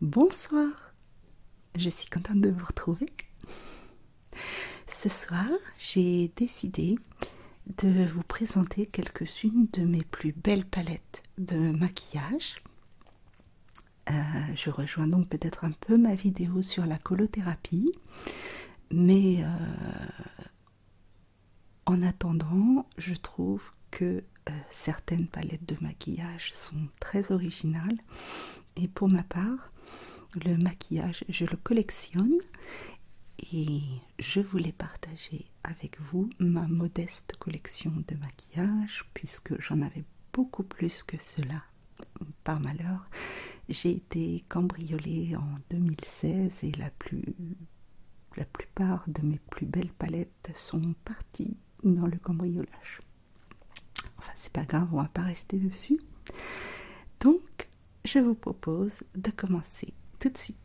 Bonsoir, je suis contente de vous retrouver. Ce soir, j'ai décidé de vous présenter quelques-unes de mes plus belles palettes de maquillage. Euh, je rejoins donc peut-être un peu ma vidéo sur la colothérapie, mais euh, en attendant, je trouve que euh, certaines palettes de maquillage sont très originales et pour ma part, le maquillage, je le collectionne et je voulais partager avec vous ma modeste collection de maquillage puisque j'en avais beaucoup plus que cela. Par malheur, j'ai été cambriolée en 2016 et la plupart de mes plus belles palettes sont partis dans le cambriolage. Enfin, c'est pas grave, on va pas rester dessus. Donc, je vous propose de commencer tout de suite.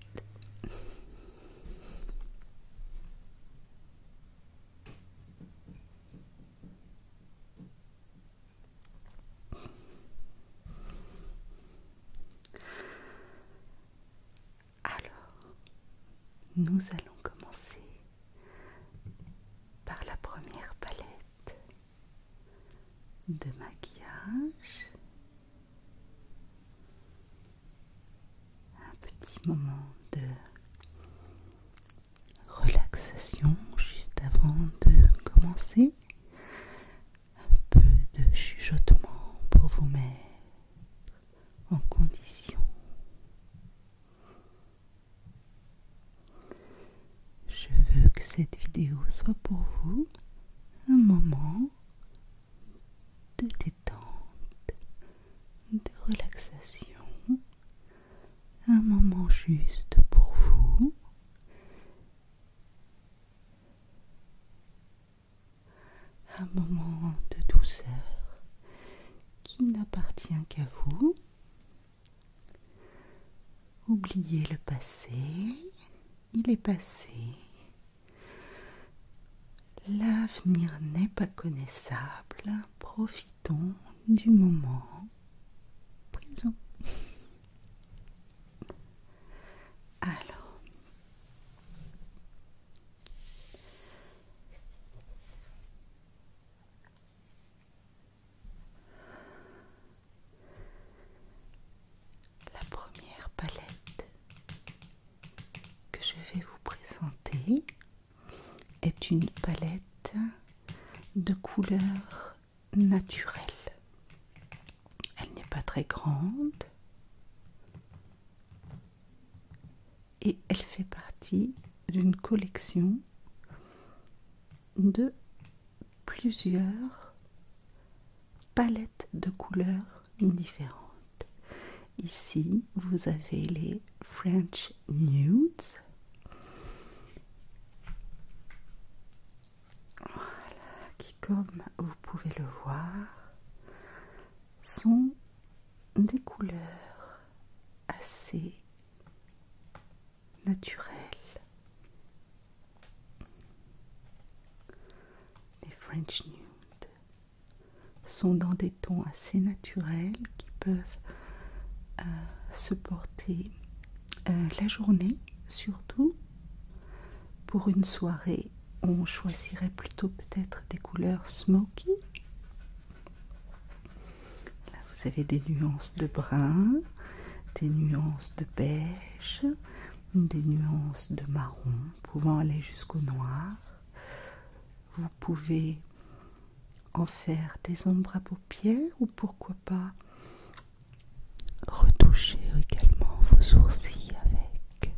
Alors, nous allons commencer par la première palette de maquillage. Un petit moment de relaxation juste avant de commencer. Un peu de chuchotement pour vous mettre en condition. Je veux que cette vidéo soit pour vous un moment de détente, de relaxation, un moment juste pour vous un moment de douceur qui n'appartient qu'à vous. Oubliez le passé, il est passé. L'avenir n'est pas connaissable, profitons du moment présent. Alors, la première palette que je vais vous présenter est une palette de couleurs naturelles. Elle n'est pas très grande et elle fait partie d'une collection de plusieurs palettes de couleurs différentes. Ici, vous avez les French Nudes. Voilà, qui comme vous pouvez le voir sont des couleurs assez naturelles. Les French Nude sont dans des tons assez naturels qui peuvent euh, se porter euh, la journée surtout pour une soirée on choisirait plutôt peut-être des couleurs smoky. Là, vous avez des nuances de brun, des nuances de beige, des nuances de marron, pouvant aller jusqu'au noir. Vous pouvez en faire des ombres à paupières ou pourquoi pas retoucher également vos sourcils avec.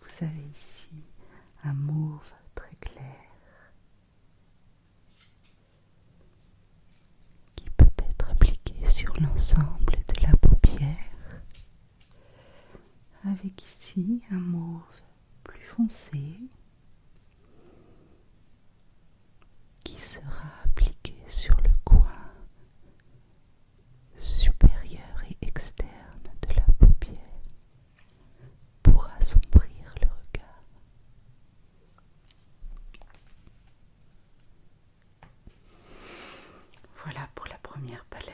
Vous avez ici un mauve très clair qui peut être appliqué sur l'ensemble de la paupière avec ici un mauve plus foncé qui sera appliqué sur le coin supérieur et externe de la paupière pour assombrir le regard. Voilà pour la première palette.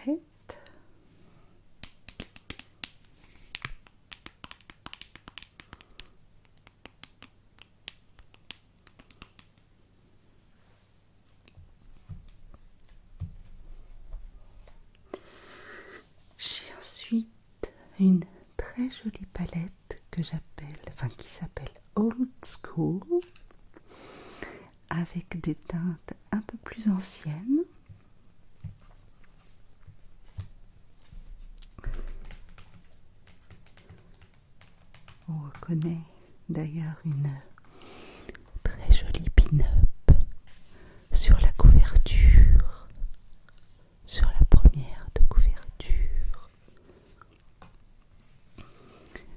J'ai ensuite une très jolie palette que j'appelle, enfin qui s'appelle Old School, avec des teintes un peu plus anciennes. On reconnaît d'ailleurs une très jolie pin-up sur la couverture, sur la première de couverture.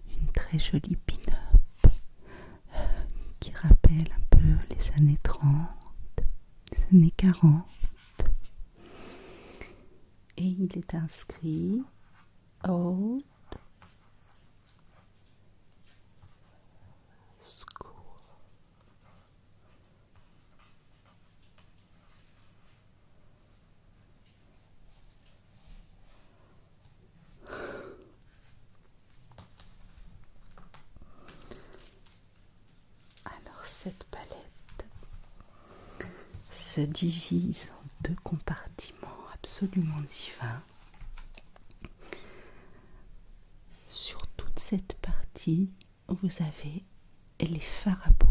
Une très jolie pin-up euh, qui rappelle un peu les années 30, les années 40 et il est inscrit Old School. Alors cette palette se divise en deux compartiments absolument divins. Sur toute cette partie, vous avez les fards à paupières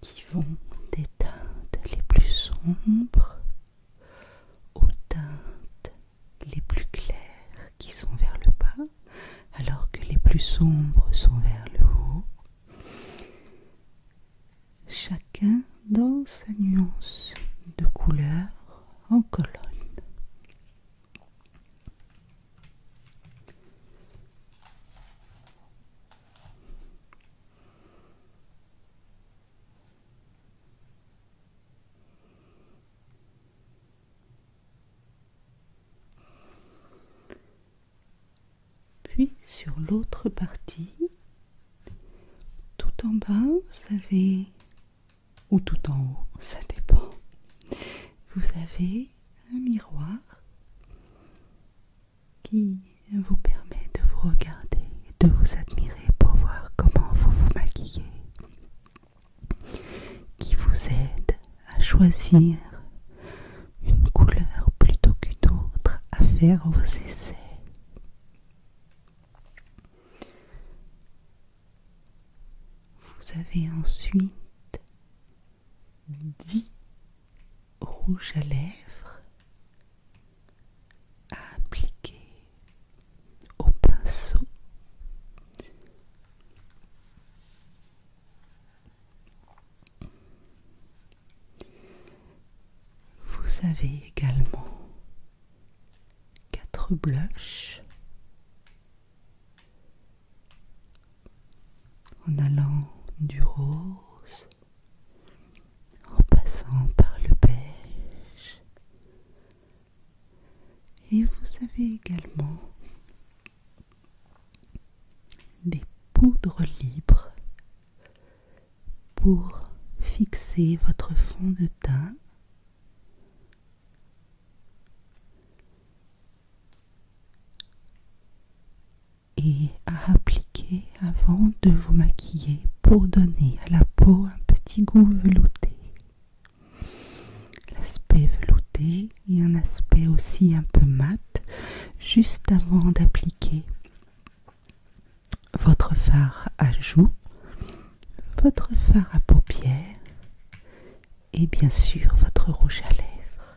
qui vont des teintes les plus sombres aux teintes les plus claires qui sont vers le bas, alors que les plus sombres sont vers le haut. Chacun dans sa nuance de couleur en colonne. Puis sur l'autre partie, tout en bas, vous avez, ou tout en haut, ça dépend, vous avez un miroir qui vous permet de vous regarder, de vous admirer pour voir comment vous vous maquillez, qui vous aide à choisir une couleur plutôt qu'une autre, à faire vos essais. Vous avez ensuite dix rouges à lèvres à appliquer au pinceau vous avez également quatre blushs en allant du rose, en passant par le beige. Et vous avez également des poudres libres pour fixer votre fond de teint et à appliquer avant de vous maquiller pour donner à la peau un petit goût velouté. L'aspect velouté et un aspect aussi un peu mat juste avant d'appliquer votre fard à joues, votre fard à paupières et bien sûr votre rouge à lèvres.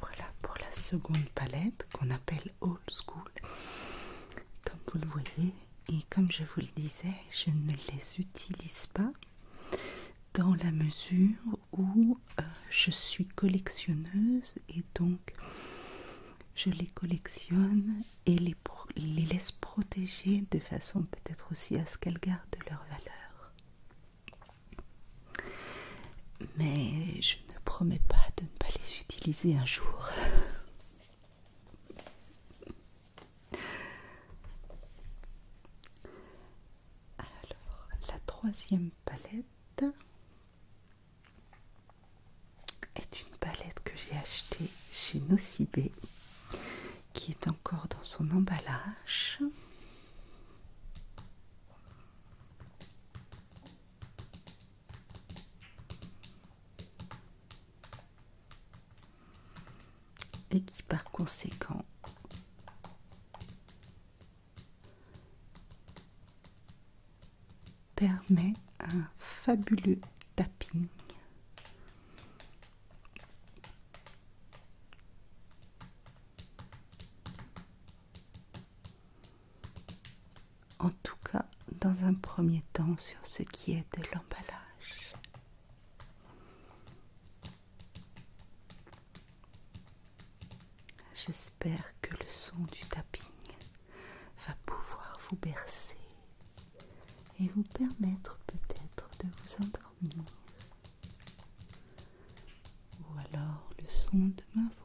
Voilà pour la seconde palette qu'on appelle Old School. Comme vous le voyez, et comme je vous le disais, je ne les utilise pas dans la mesure où euh, je suis collectionneuse et donc je les collectionne et les laisse protéger de façon peut-être aussi à ce qu'elles gardent leur valeur. Mais je ne promets pas de ne pas les utiliser un jour. Alors, la troisième palette est une palette que j'ai achetée chez Nocibé, qui est encore dans son emballage et qui par conséquent permet un fabuleux tapping en tout cas dans un premier temps sur ce qui est de l'emballage J'espère que le son du tapping va pouvoir vous bercer et vous permettre peut-être de vous endormir. Ou alors le son de ma voix.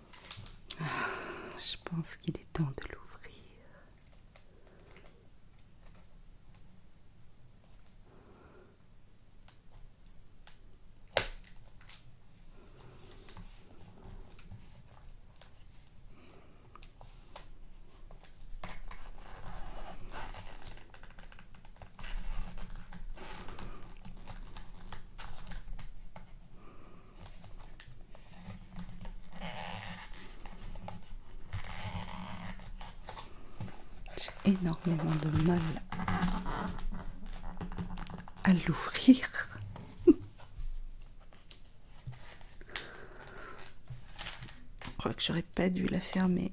Ah, je pense qu'il est temps de l'ouvrir. J'ai énormément de mal à l'ouvrir. Je crois que j'aurais pas dû la fermer.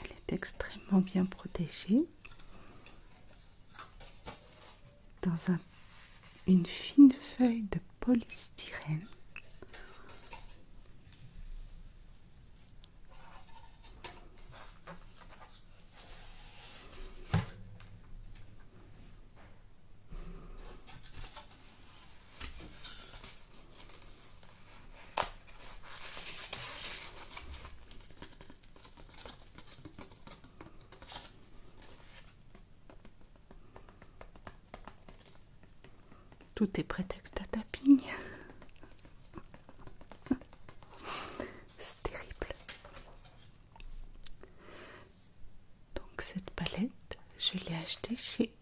Elle est extrêmement bien protégée dans une fine feuille de polystyrène. Tout est prétexte à tapping. C'est terrible. Donc cette palette, je l'ai achetée chez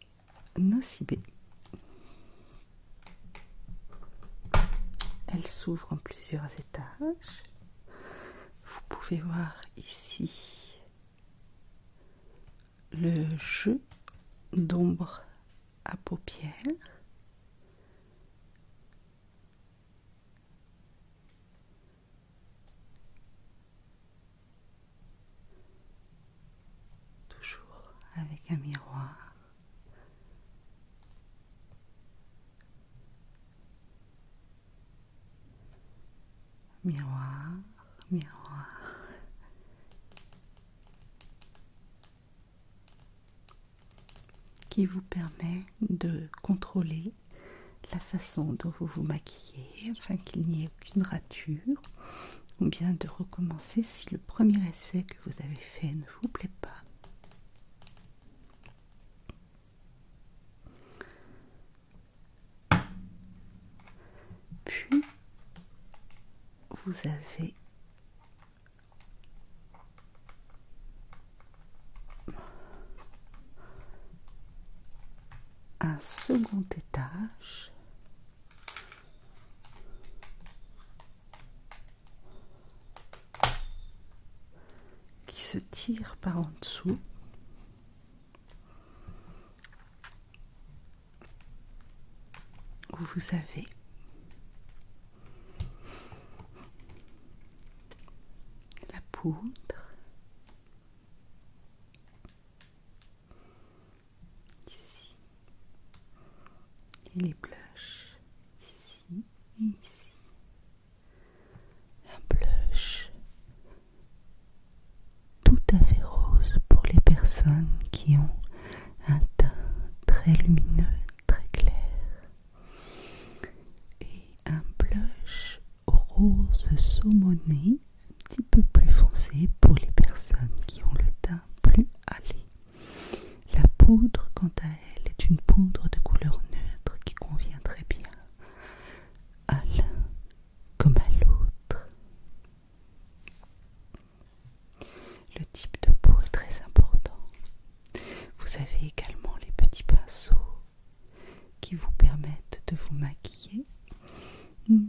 Nocibé. Elle s'ouvre en plusieurs étages. Vous pouvez voir ici le jeu d'ombre à paupières. Toujours avec un miroir. Miroir, miroir. qui vous permet de contrôler la façon dont vous vous maquillez afin qu'il n'y ait aucune rature ou bien de recommencer si le premier essai que vous avez fait ne vous plaît pas. Puis vous avez un second étage qui se tire par en dessous où vous avez la poudre ici et les blushs ici ici un blush tout à fait rose pour les personnes qui ont un teint très lumineux, très clair et un blush rose saumonée, un petit peu plus foncé pour les personnes qui ont le teint plus hâlé. La poudre, quant à elle, est une poudre de couleur neutre qui convient très bien à l'un comme à l'autre. Le type de peau est très important. Vous avez également les petits pinceaux qui vous permettent de vous maquiller. Hmm.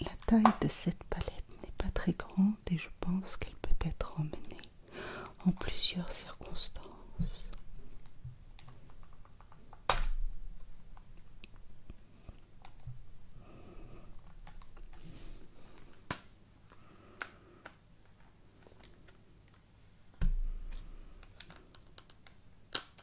La taille de cette palette n'est pas très grande et je pense qu'elle peut être emmenée en plusieurs circonstances.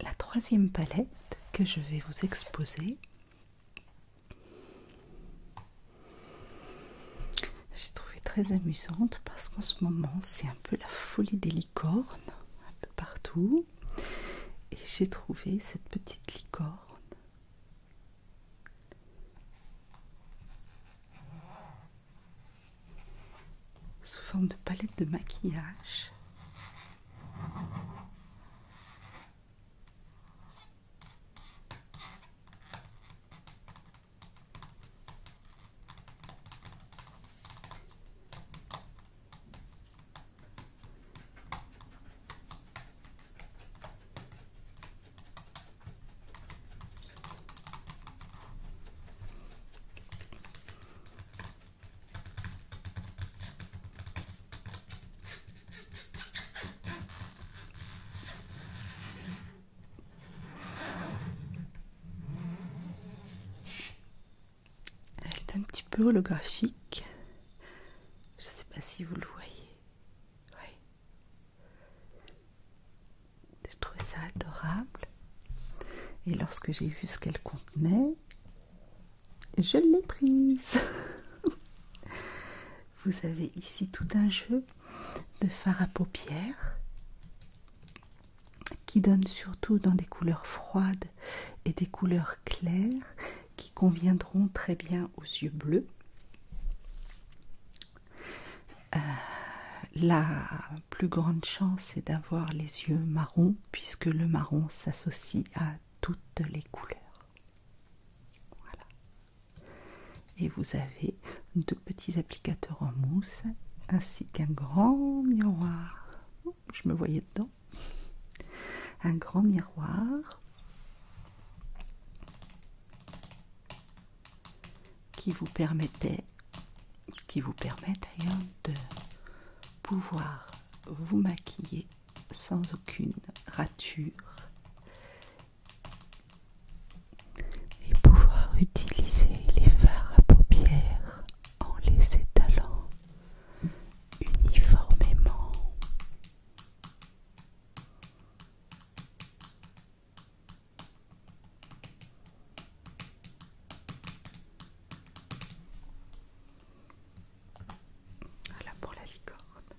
La troisième palette que je vais vous exposer, j'ai trouvé très amusante parce qu'en ce moment c'est un peu la folie des licornes, un peu partout, et j'ai trouvé cette petite licorne sous forme de palette de maquillage. Elle est un petit peu holographique. Je ne sais pas si vous le voyez. Je trouvais ça adorable. Et lorsque j'ai vu ce qu'elle contenait, je l'ai prise. Vous avez ici tout un jeu de fards à paupières qui donne surtout dans des couleurs froides et des couleurs claires qui conviendront très bien aux yeux bleus. Euh, plus grande chance c'est d'avoir les yeux marron puisque le marron s'associe à toutes les couleurs. Voilà. Et vous avez deux petits applicateurs en mousse ainsi qu'un grand miroir. Oh, je me voyais dedans. Un grand miroir qui vous permettait, qui vous permet d'ailleurs de pouvoir vous maquiller sans aucune rature et pouvoir utiliser les fards à paupières en les étalant uniformément. Voilà pour la licorne.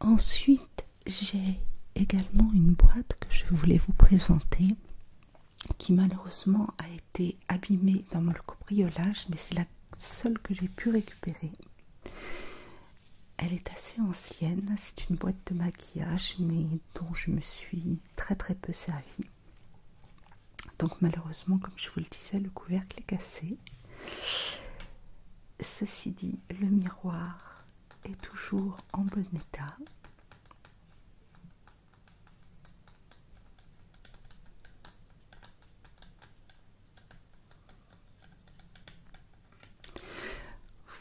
Ensuite, j'ai également une boîte que je voulais vous présenter qui malheureusement a été abîmée dans le cobriolage mais c'est la seule que j'ai pu récupérer. Elle est assez ancienne, c'est une boîte de maquillage, mais dont je me suis très très peu servie. Donc malheureusement, comme je vous le disais, le couvercle est cassé. Ceci dit, le miroir est toujours en bon état.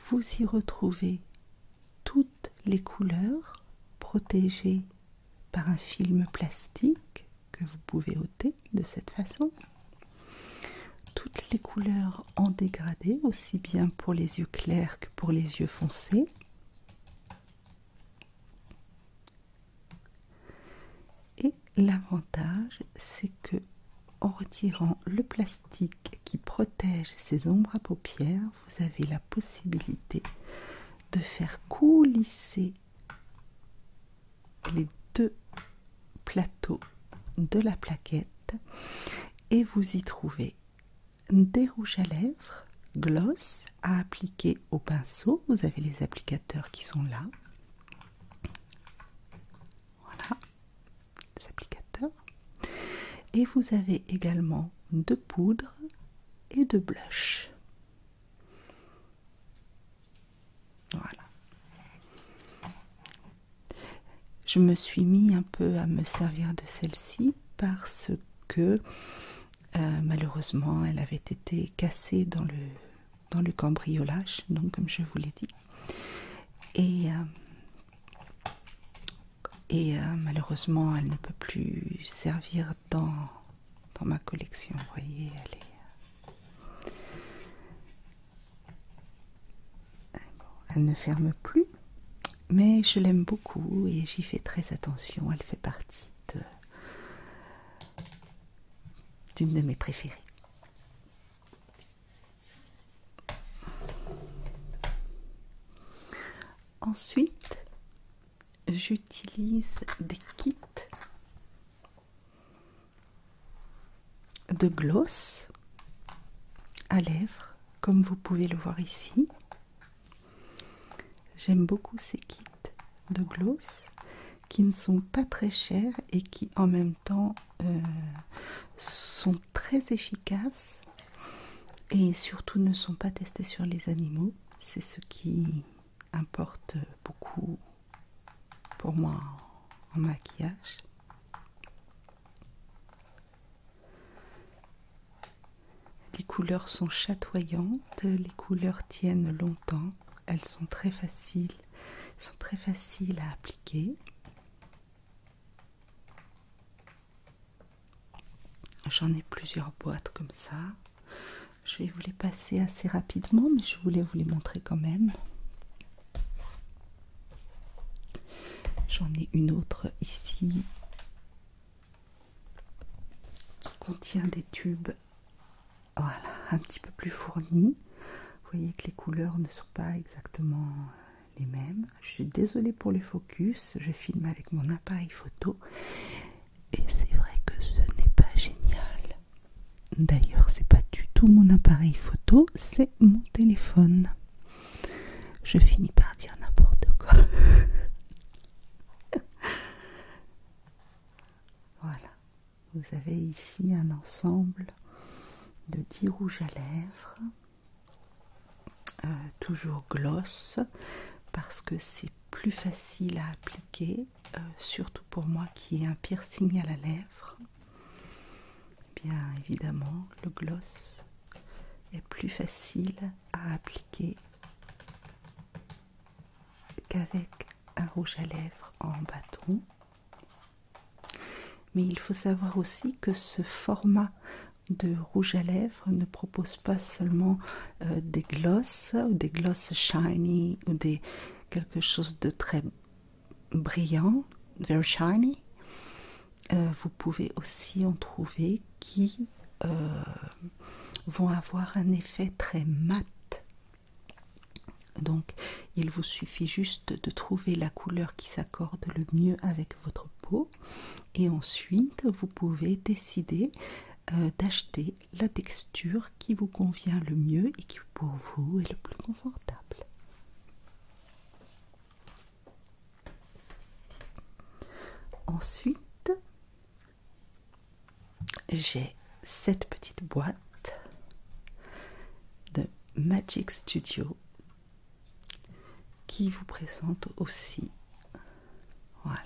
Vous y retrouvez toutes les couleurs protégées par un film plastique que vous pouvez ôter de cette façon. Toutes les couleurs en dégradé, aussi bien pour les yeux clairs que pour les yeux foncés. Et l'avantage, c'est que en retirant le plastique qui protège ces ombres à paupières, vous avez la possibilité de faire coulisser les deux plateaux de la plaquette et vous y trouvez des rouges à lèvres, gloss à appliquer au pinceau, vous avez les applicateurs qui sont là. Voilà, applicateurs Et vous avez également de poudre et de blush. Voilà. Je me suis mis un peu à me servir de celle-ci parce que euh, malheureusement elle avait été cassée dans le, dans le cambriolage, donc comme je vous l'ai dit. Et, euh, euh, malheureusement, elle ne peut plus servir dans, dans ma collection. Vous voyez, euh, elle ne ferme plus, mais je l'aime beaucoup et j'y fais très attention. Elle fait partie d'une de mes préférées. Ensuite, j'utilise des kits de gloss à lèvres, comme vous pouvez le voir ici. J'aime beaucoup ces kits de gloss qui ne sont pas très chers et qui en même temps euh, sont très efficaces et surtout ne sont pas testés sur les animaux. C'est ce qui importe beaucoup pour moi en maquillage. Les couleurs sont chatoyantes, les couleurs tiennent longtemps, elles sont très faciles, sont très faciles à appliquer. J'en ai plusieurs boîtes comme ça. Je vais vous les passer assez rapidement, mais je voulais vous les montrer quand même. J'en ai une autre ici qui contient des tubes voilà, un petit peu plus fournis. Vous voyez que les couleurs ne sont pas exactement les mêmes. Je suis désolée pour les focus, je filme avec mon appareil photo et c'est vrai que ce n'est pas génial. D'ailleurs, c'est pas du tout mon appareil photo, c'est mon téléphone. Je finis par dire n'importe quoi. voilà, vous avez ici un ensemble de 10 rouges à lèvres euh, toujours gloss parce que c'est plus facile à appliquer, euh, surtout pour moi qui ai un piercing à la lèvre. Bien évidemment, le gloss est plus facile à appliquer qu'avec un rouge à lèvres en bâton. Mais il faut savoir aussi que ce format de rouge à lèvres ne propose pas seulement euh, des glosses ou des glosses shiny ou des quelque chose de très brillant, very shiny. Euh, vous pouvez aussi en trouver qui euh, vont avoir un effet très mat. Donc il vous suffit juste de trouver la couleur qui s'accorde le mieux avec votre peau et ensuite, vous pouvez décider euh, d'acheter la texture qui vous convient le mieux et qui pour vous est le plus confortable. Ensuite, j'ai cette petite boîte de Magic Studio qui vous présente aussi voilà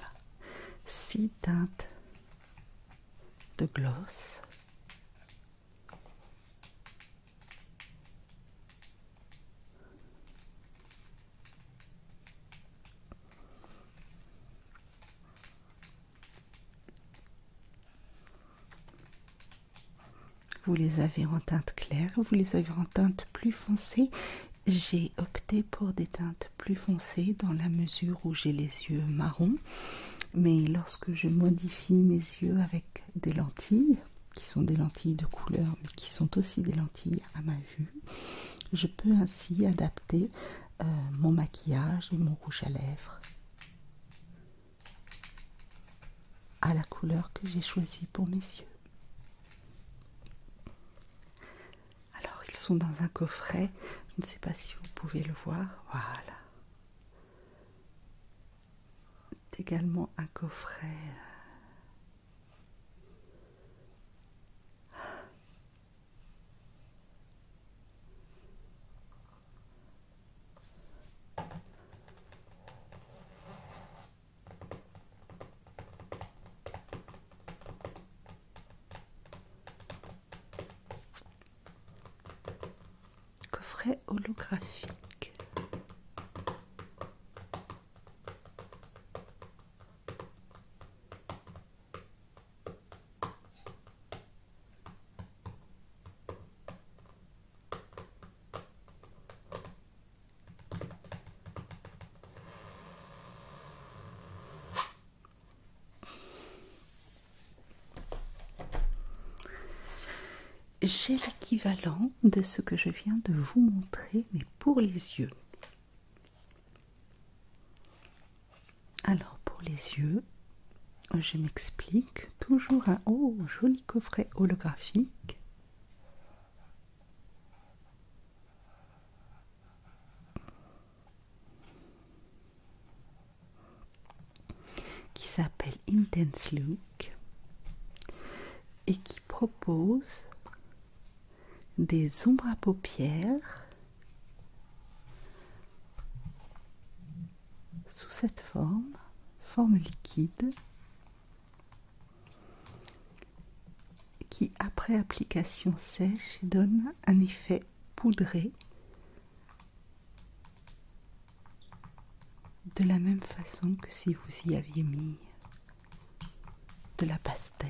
six teintes de gloss vous les avez en teinte claire, vous les avez en teinte plus foncée. J'ai opté pour des teintes plus foncées dans la mesure où j'ai les yeux marrons. Mais lorsque je modifie mes yeux avec des lentilles, qui sont des lentilles de couleur, mais qui sont aussi des lentilles à ma vue, je peux ainsi adapter euh, mon maquillage et mon rouge à lèvres à la couleur que j'ai choisie pour mes yeux. Alors ils sont dans un coffret, je ne sais pas si vous pouvez le voir, voilà. C'est également un coffret euh, Coffret holographique. J'ai l'équivalent de ce que je viens de vous montrer, mais pour les yeux. Alors pour les yeux, je m'explique. Toujours un haut, joli coffret holographique qui s'appelle Intense Look et qui propose des ombres à paupières sous cette forme, forme liquide qui après application sèche donne un effet poudré de la même façon que si vous y aviez mis de la pastelle.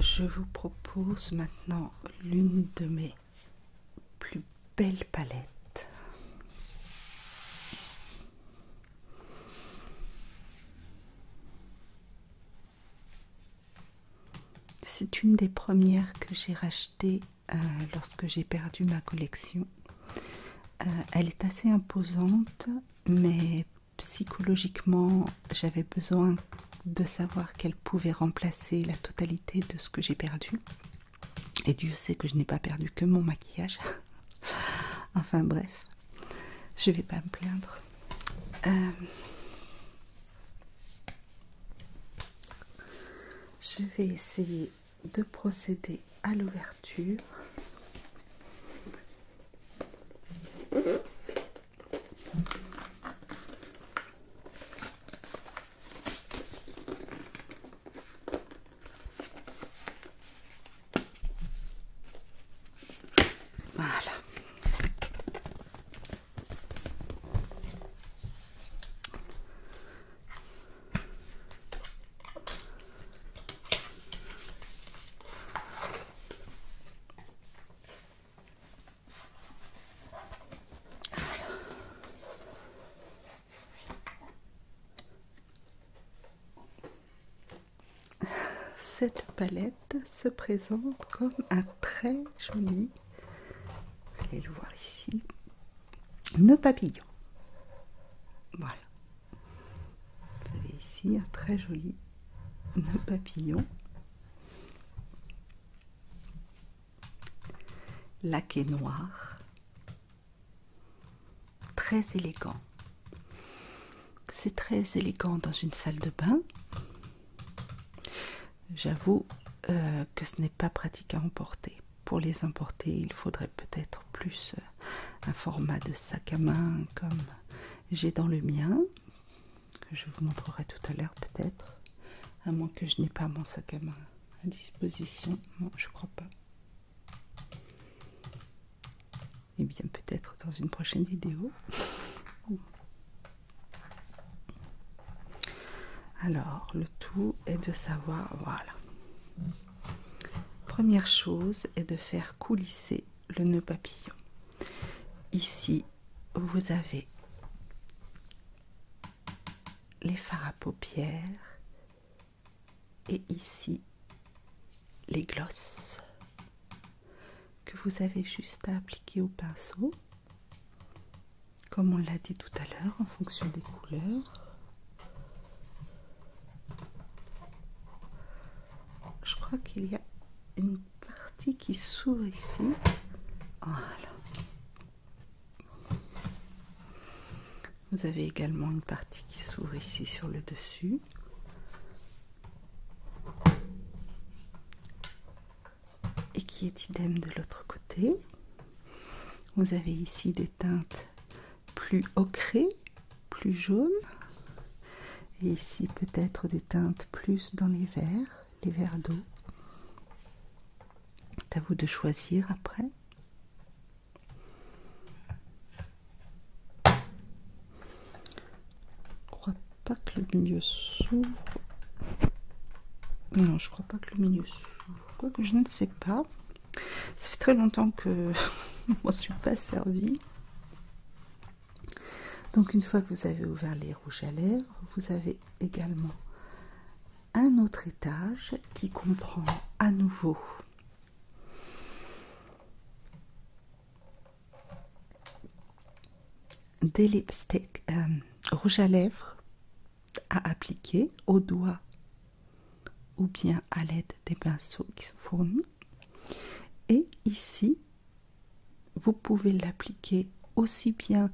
Je vous propose maintenant l'une de mes plus belles palettes. C'est une des premières que j'ai rachetées euh, lorsque j'ai perdu ma collection. Euh, elle est assez imposante, mais psychologiquement, j'avais besoin de savoir qu'elle pouvait remplacer la totalité de ce que j'ai perdu. Et Dieu sait que je n'ai pas perdu que mon maquillage. enfin bref, je ne vais pas me plaindre. Euh, je vais essayer de procéder à l'ouverture cette palette se présente comme un très joli, allez le voir ici, nœud papillon. Voilà, vous avez ici un très joli papillon laqué noir, très élégant. C'est très élégant dans une salle de bain. J'avoue euh, que ce n'est pas pratique à emporter pour les importer, il faudrait peut-être plus euh, un format de sac à main comme j'ai dans le mien, que je vous montrerai tout à l'heure peut-être, à moins que je n'ai pas mon sac à main à disposition. Non, je crois pas. Et eh bien peut-être dans une prochaine vidéo. Alors, le tout est de savoir, voilà. Première chose est de faire coulisser le nœud papillon. Ici, vous avez les fards à paupières et ici les glosses que vous avez juste à appliquer au pinceau comme on l'a dit tout à l'heure en fonction des couleurs je crois qu'il y a une partie qui s'ouvre ici. Vous avez également une partie qui s'ouvre ici sur le dessus. Et qui est idem de l'autre côté. Vous avez ici des teintes plus ocré, plus jaune. Et ici peut-être des teintes plus dans les verts, les verres d'eau. C'est à vous de choisir après. Je crois pas que le milieu s'ouvre. Non, je crois pas que le milieu s'ouvre. que je ne sais pas. Ça fait très longtemps que je m'en suis pas servi. Donc une fois que vous avez ouvert les rouges à lèvres, vous avez également un autre étage qui comprend à nouveau des lipsticks euh, rouges à lèvres à appliquer au doigt ou bien à l'aide des pinceaux qui sont fournis. Et ici, vous pouvez l'appliquer aussi bien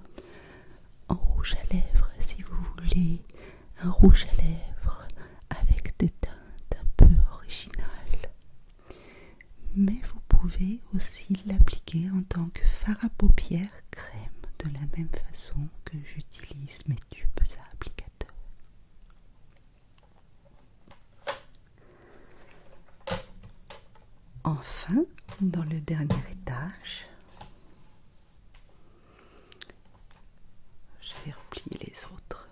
en rouge à lèvres si vous voulez, un rouge à lèvres avec des teintes un peu originales. Mais vous pouvez aussi l'appliquer en tant que fard à paupières crème de la même façon que j'utilise mes tubes à applicateurs Enfin, dans le dernier étage, Je vais replier les autres.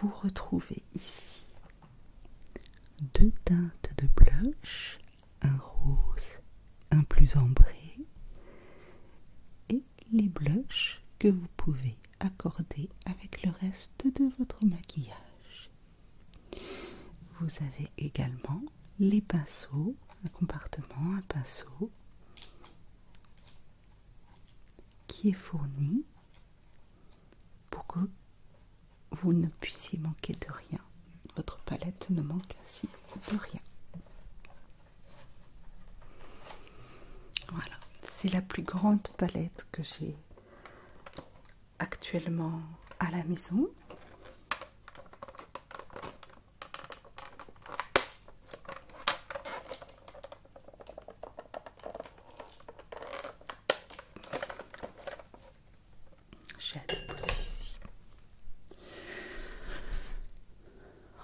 Vous retrouvez ici deux teintes de blush, un rose, un plus ambré et les blushs que vous pouvez accorder avec le reste de votre maquillage. Vous avez également les pinceaux, un compartiment, un pinceau qui est fourni pour que vous ne puissiez manquer de rien. Votre palette ne manque ainsi de rien. Voilà, c'est la plus grande palette que j'ai actuellement à la maison.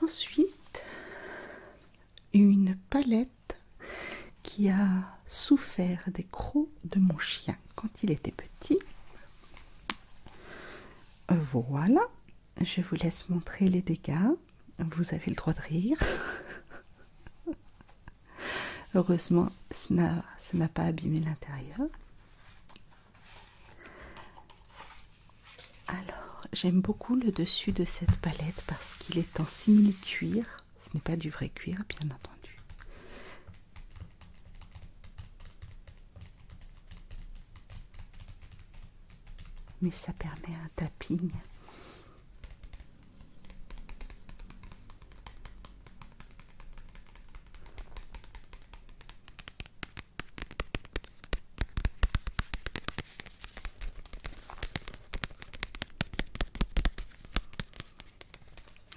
Ensuite, une palette qui a souffert des crocs de mon chien quand il était petit. Voilà, je vous laisse montrer les dégâts. Vous avez le droit de rire. Heureusement, ça n'a pas abîmé l'intérieur. Alors, j'aime beaucoup le dessus de cette palette parce qu'il est en simili-cuir. Ce n'est pas du vrai cuir, bien entendu. Mais ça permet un tapping.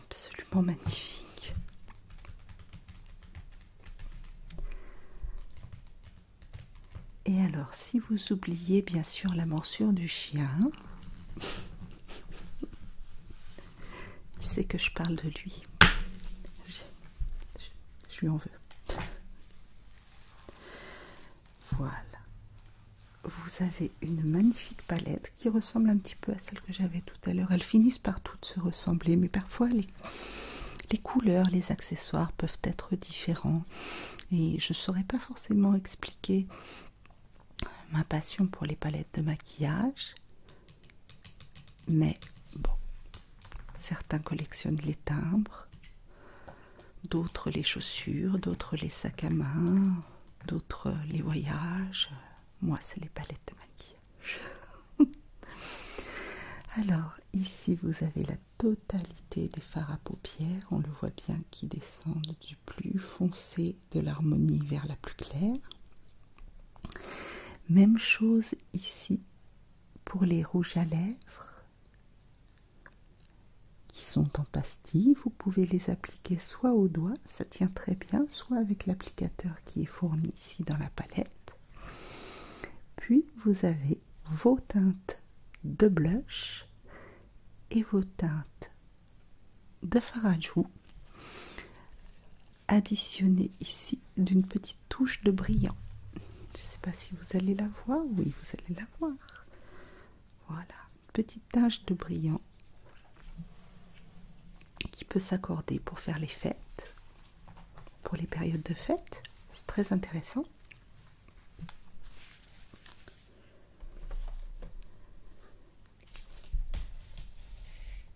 Absolument magnifique. Et alors, si vous oubliez bien sûr la morsure du chien, c'est que je parle de lui. je lui en veux. Voilà. Vous avez une magnifique palette qui ressemble un petit peu à celle que j'avais tout à l'heure. Elles finissent par toutes se ressembler, mais parfois les, couleurs, les accessoires peuvent être différents. Et je ne saurais pas forcément expliquer ma passion pour les palettes de maquillage. Mais bon, Certains collectionnent les timbres, d'autres les chaussures, d'autres les sacs à main, d'autres les voyages. Moi, c'est les palettes de maquillage. Alors, ici, vous avez la totalité des fards à paupières. On le voit bien qui descendent du plus foncé de l'harmonie vers la plus claire. Même chose ici pour les rouges à lèvres qui sont en pastille. Vous pouvez les appliquer soit au doigt, ça tient très bien, soit avec l'applicateur qui est fourni ici dans la palette. Puis vous avez vos teintes de blush et vos teintes de farajou additionnées ici d'une petite touche de brillant. Je ne sais pas si vous allez la voir. Oui, vous allez la voir. Voilà, petite tache de brillant qui peut s'accorder pour faire les fêtes, pour les périodes de fêtes C'est très intéressant.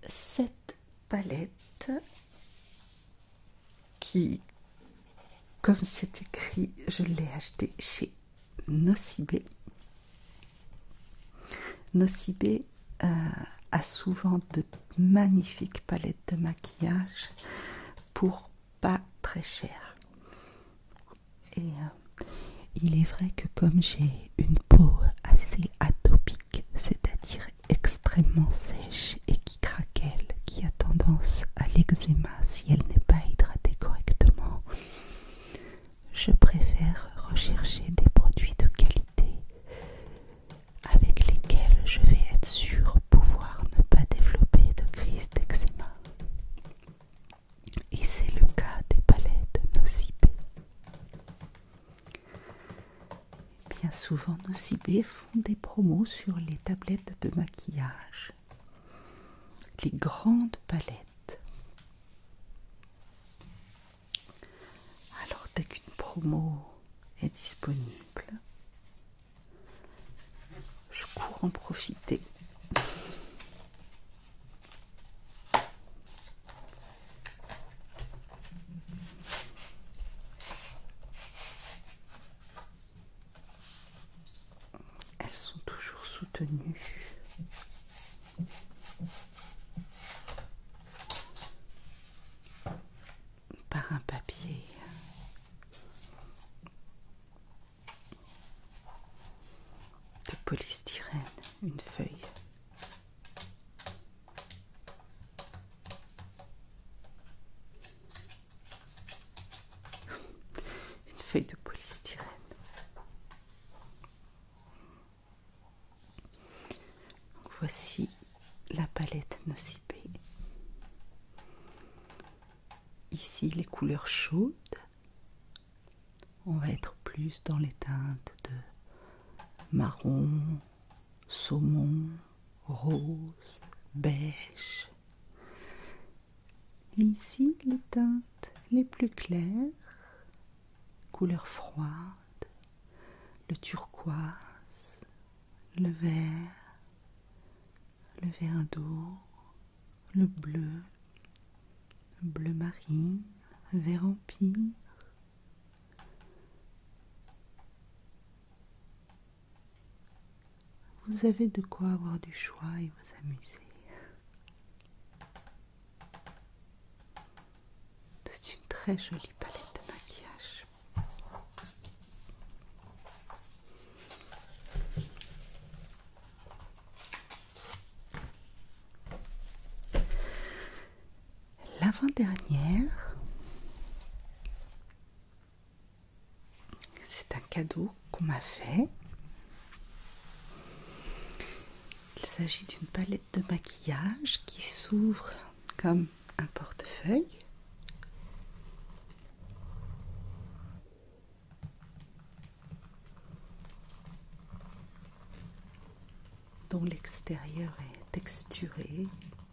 Cette palette, qui, comme c'est écrit, je l'ai acheté chez Nocibé. Nocibé euh, a souvent de magnifiques palettes de maquillage pour pas très cher. Et euh, il est vrai que comme j'ai une peau assez atopique, c'est-à-dire extrêmement sèche et qui craquelle, qui a tendance à l'eczéma si elle n'est pas hydratée correctement, je préfère rechercher des produits de qualité avec lesquels je vais être sûre pouvoir ne pas développer de crise d'eczéma. Et c'est le cas des palettes nocibé Bien souvent, nocibé des promos sur les tablettes de maquillage. Les grandes palettes. Alors dès qu'une promo est disponible, je cours en profiter. Elles sont toujours soutenues. Par un papier de polystyrène, une feuille. Une feuille de polystyrène. voici la palette nocipe Ici les couleurs chaudes. On va être plus dans les teintes de marron, saumon, rose, beige ici, les teintes les plus claires, couleur froides le turquoise, le vert, le vert d'eau, le bleu, bleu marine, vert empire, vous avez de quoi avoir du choix et vous amuser. C'est une très jolie palette de maquillage. L'avant-dernière c'est un cadeau qu'on m'a fait. Il s'agit d'une palette de maquillage qui s'ouvre comme un portefeuille. dont l'extérieur est texturé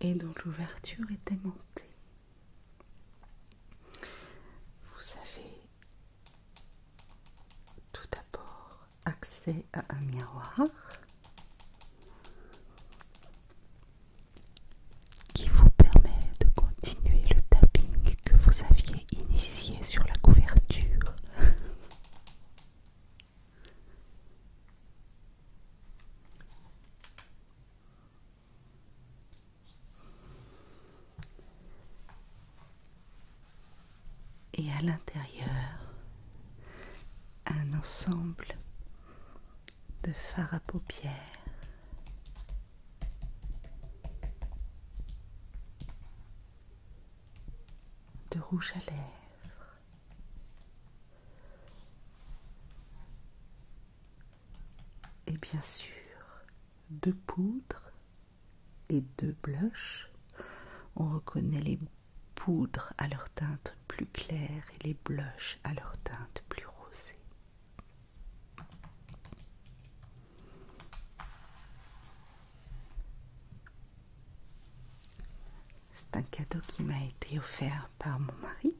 et dont l'ouverture est aimantée. Vous savez tout d'abord accès à un miroir qui vous permet de continuer le tapping que vous aviez initié sur la couverture et à l'intérieur un ensemble de fards à paupières. de rouge à lèvres, et bien sûr de poudre les deux blushs. On reconnaît les poudres à leur teinte plus claire et les blushs à leur teinte plus rosée. C'est un cadeau qui m'a été offert par mon mari,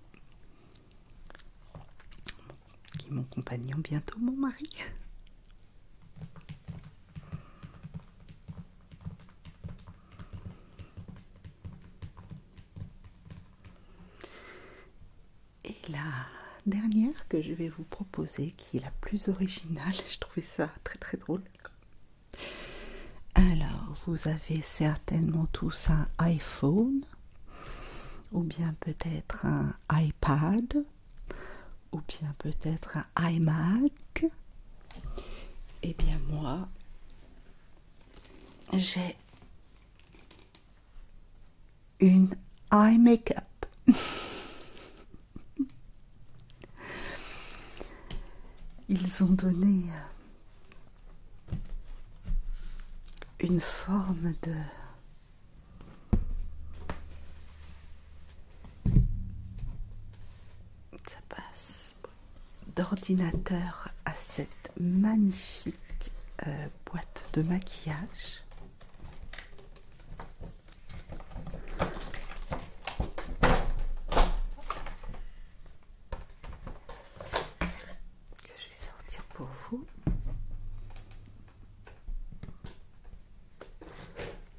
qui est mon compagnon, bientôt mon mari. Et la dernière que je vais vous proposer, qui est la plus originale, je trouvais ça très très drôle. Alors, vous avez certainement tous un iPhone ou bien peut-être un iPad ou bien peut-être un iMac. et eh bien moi, j'ai une eye makeup. Ils ont donné euh, une forme de ça passe d'ordinateur à cette magnifique euh, boîte de maquillage. Que je vais sortir pour vous.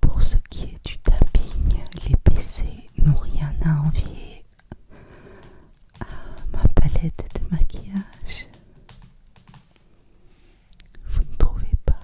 Pour ce qui est du tapping, les PC n'ont rien à envier à ma palette de maquillage. Vous ne trouvez pas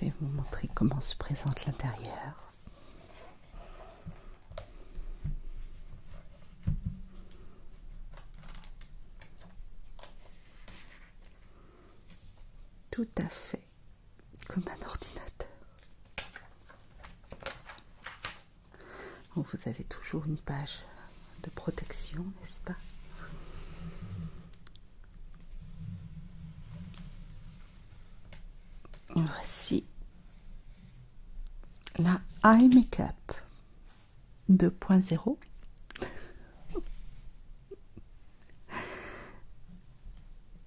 je vais vous montrer comment se présente l'intérieur tout à fait comme un ordinateur. vous avez toujours une page de protection, n'est-ce pas Voici la eye makeup. 2.0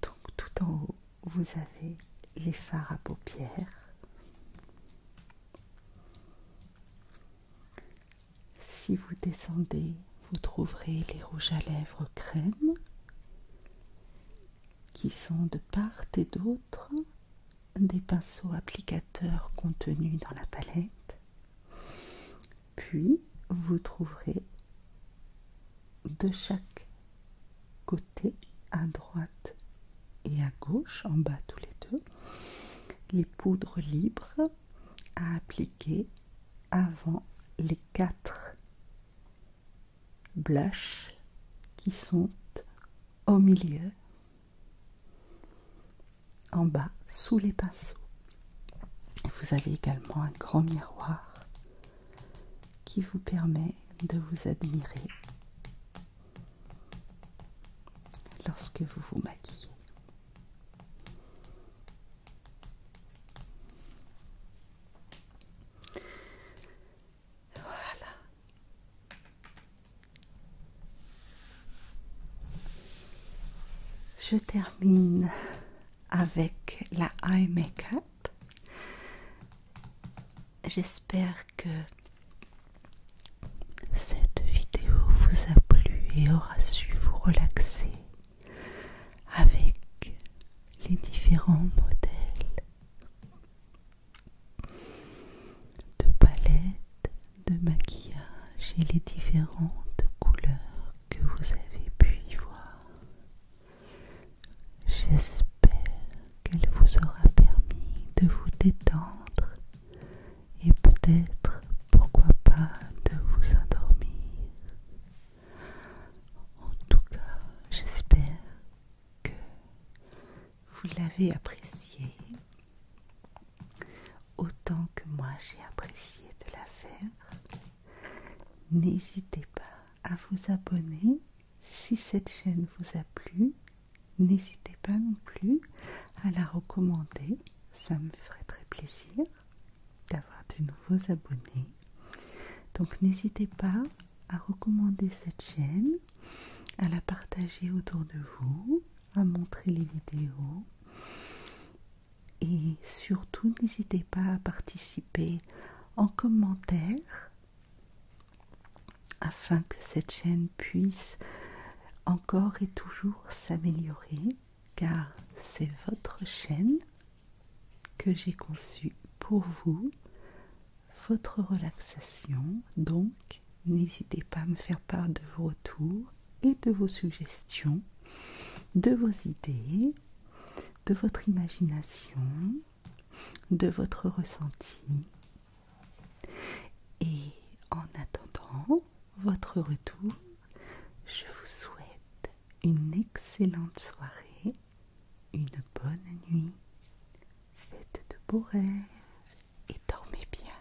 donc tout en haut vous avez les fards à paupières si vous descendez vous trouverez les rouges à lèvres crème qui sont de part et d'autre des pinceaux applicateurs contenus dans la palette puis vous trouverez de chaque côté, à droite et à gauche, en bas tous les deux, les poudres libres à appliquer avant les quatre blushs qui sont au milieu en bas sous les pinceaux. Vous avez également un grand miroir qui vous permet de vous admirer lorsque vous vous maquillez. Voilà. Je termine avec la eye makeup. J'espère que cette vidéo vous a plu et aura su vous relaxer avec les différents modèles de palettes de maquillage et les différentes couleurs que vous avez pu y voir. J'espère qu'elle vous aura permis de vous détendre et peut-être, pourquoi pas, de vous endormir. En tout cas, j'espère que vous l'avez apprécié autant que moi j'ai apprécié de la faire. N'hésitez pas à vous abonner si cette chaîne vous a plu. N'hésitez pas non plus à la recommander, ça me ferait très plaisir d'avoir de nouveaux abonnés. Donc n'hésitez pas à recommander cette chaîne, à la partager autour de vous, à montrer les vidéos et surtout n'hésitez pas à participer en commentaire afin que cette chaîne puisse encore et toujours s'améliorer car c'est votre chaîne que j'ai conçue pour vous, votre relaxation. Donc n'hésitez pas à me faire part de vos retours et de vos suggestions, de vos idées, de votre imagination, de votre ressenti. Et en attendant votre retour, je vous souhaite une excellente soirée, une bonne nuit, faites de beaux rêves et dormez bien.